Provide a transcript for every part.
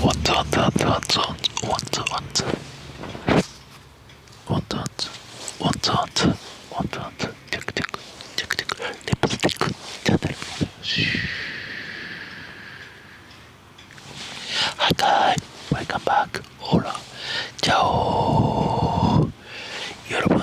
What what what what what what what what what what what what テクテクテクテクリプスティックじゃないはいかい Welcome back ほらじゃおー여러분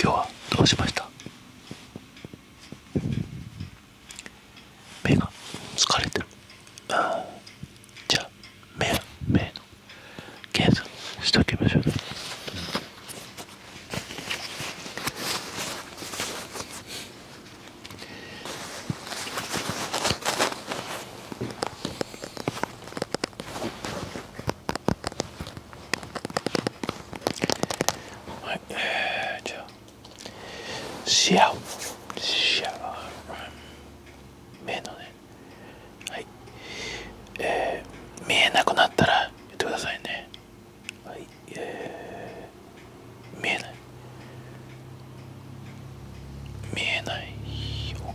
今日はどうしました目が疲れてるじゃあ目目の検査しときましょうねはいえー、じゃあシアオシアオ目のねはいえー、見えなくなったら言ってくださいねはいえー、見えない見えないよ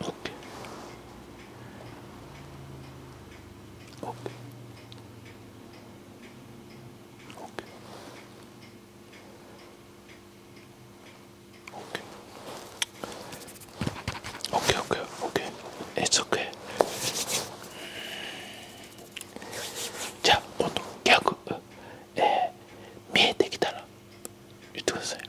オ k OK。オ k OK オ k OK It's ケ k じゃあ今度逆、えー、見えてきたら言ってください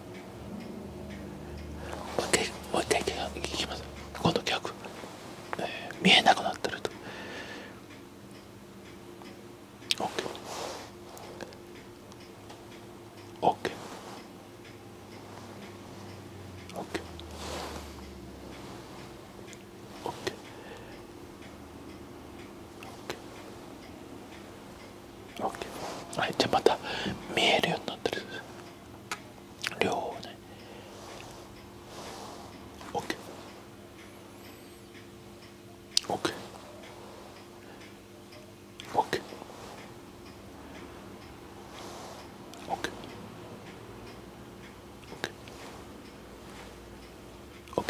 もう一回もう一回聞きますこの逆、えー、見えなくなってると OKOKOK、OK OK OK OK OK はいじゃまた見えるようになってる両方ね OKOK OK OK OK OK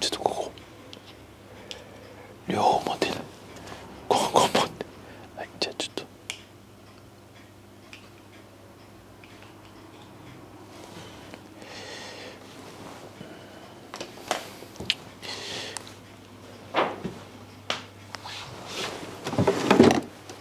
ちょっとここ両方持ってないここ持ってはいじゃあちょっと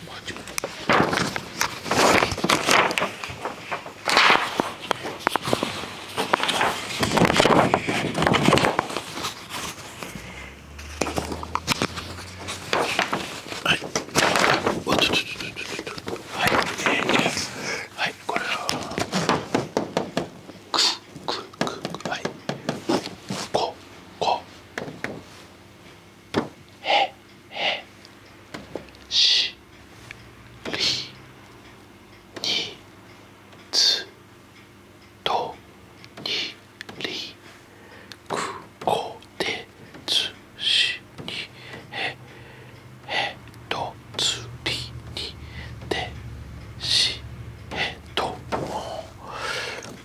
はいはいこれはくくくはいここ。へへしりにつとにりくこてつしにへへとつりにてしへとも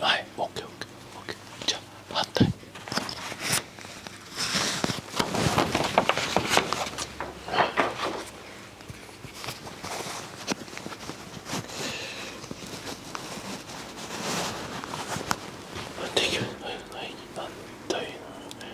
はい OKOKOK、OK OK OK、じゃあ反対反対反対反対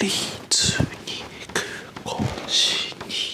リーツに行く腰に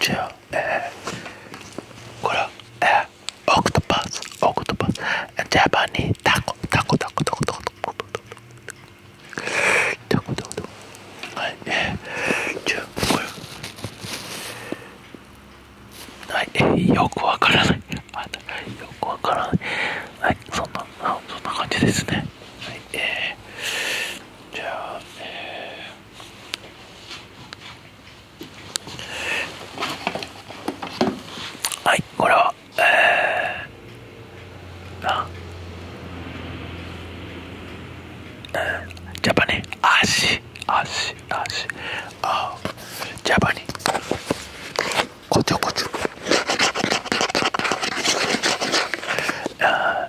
じゃあえー、これえー、オクトパスオクトパスジャパニータコタコタコタコタコタコタコタコタコタコタコタコはいえー、じゃあこれはいえー、よくわからないあよくわからないはいそんなあそんな感じですねはいえー、じゃあ、えー、はいこれはえなうんジャパニ足足足あジャパニこちょこちょあ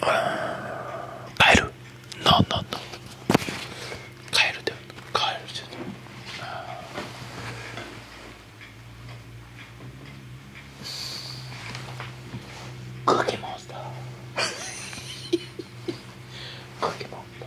カエルノンノンノンカエルだよカエルじゃないクッキーモンスタークッキーモンスター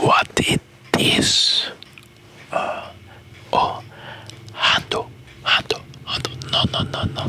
What it is? Uh, oh, handle, handle, handle. No, no, no. あんだ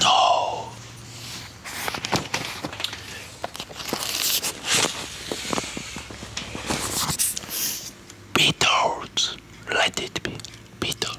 No. Beatles. Let it be. Beatles.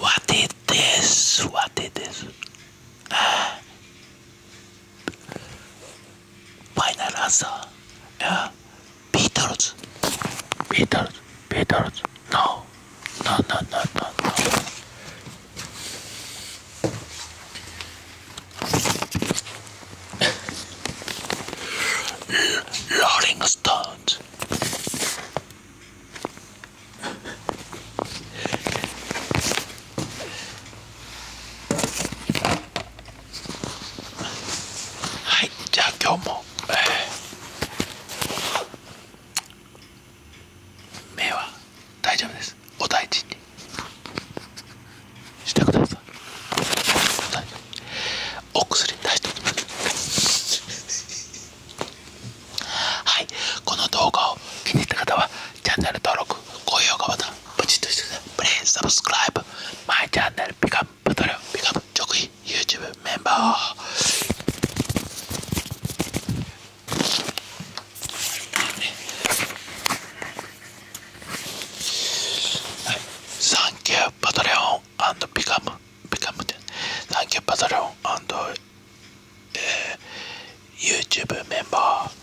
What is this? What is this? Ah. final answer. Uh, Beatles. Beatles. Beatles. No, no, no, no, no. Rolling Stones. Hi, Giacomo. 目は大丈夫ですお大事に。してくださいお薬出してはいこの動画を気に入った方はチャンネル登録高評価ボタンポチッとしてください Please subscribe my channel o m t r become 直費 YouTube メンバーサンキューパトレオンビカムビカムでサンキューパトレオン YouTube メンバー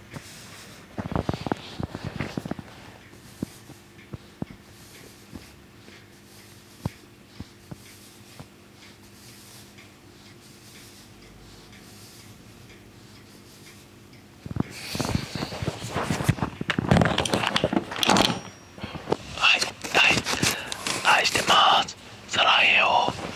はいはい愛してますサラよ。オ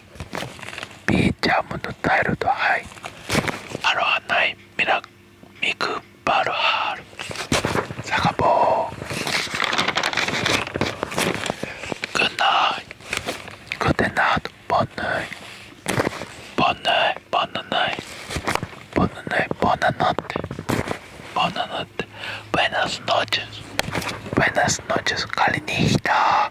ビーチャムのタイルドハイアロハナイミラミクバルハールサカボー Good night Good night ボンナイボンナイボンナナイボンナナイボンナナテボンナナテ Buenas noches Buenas noches カリニヒタ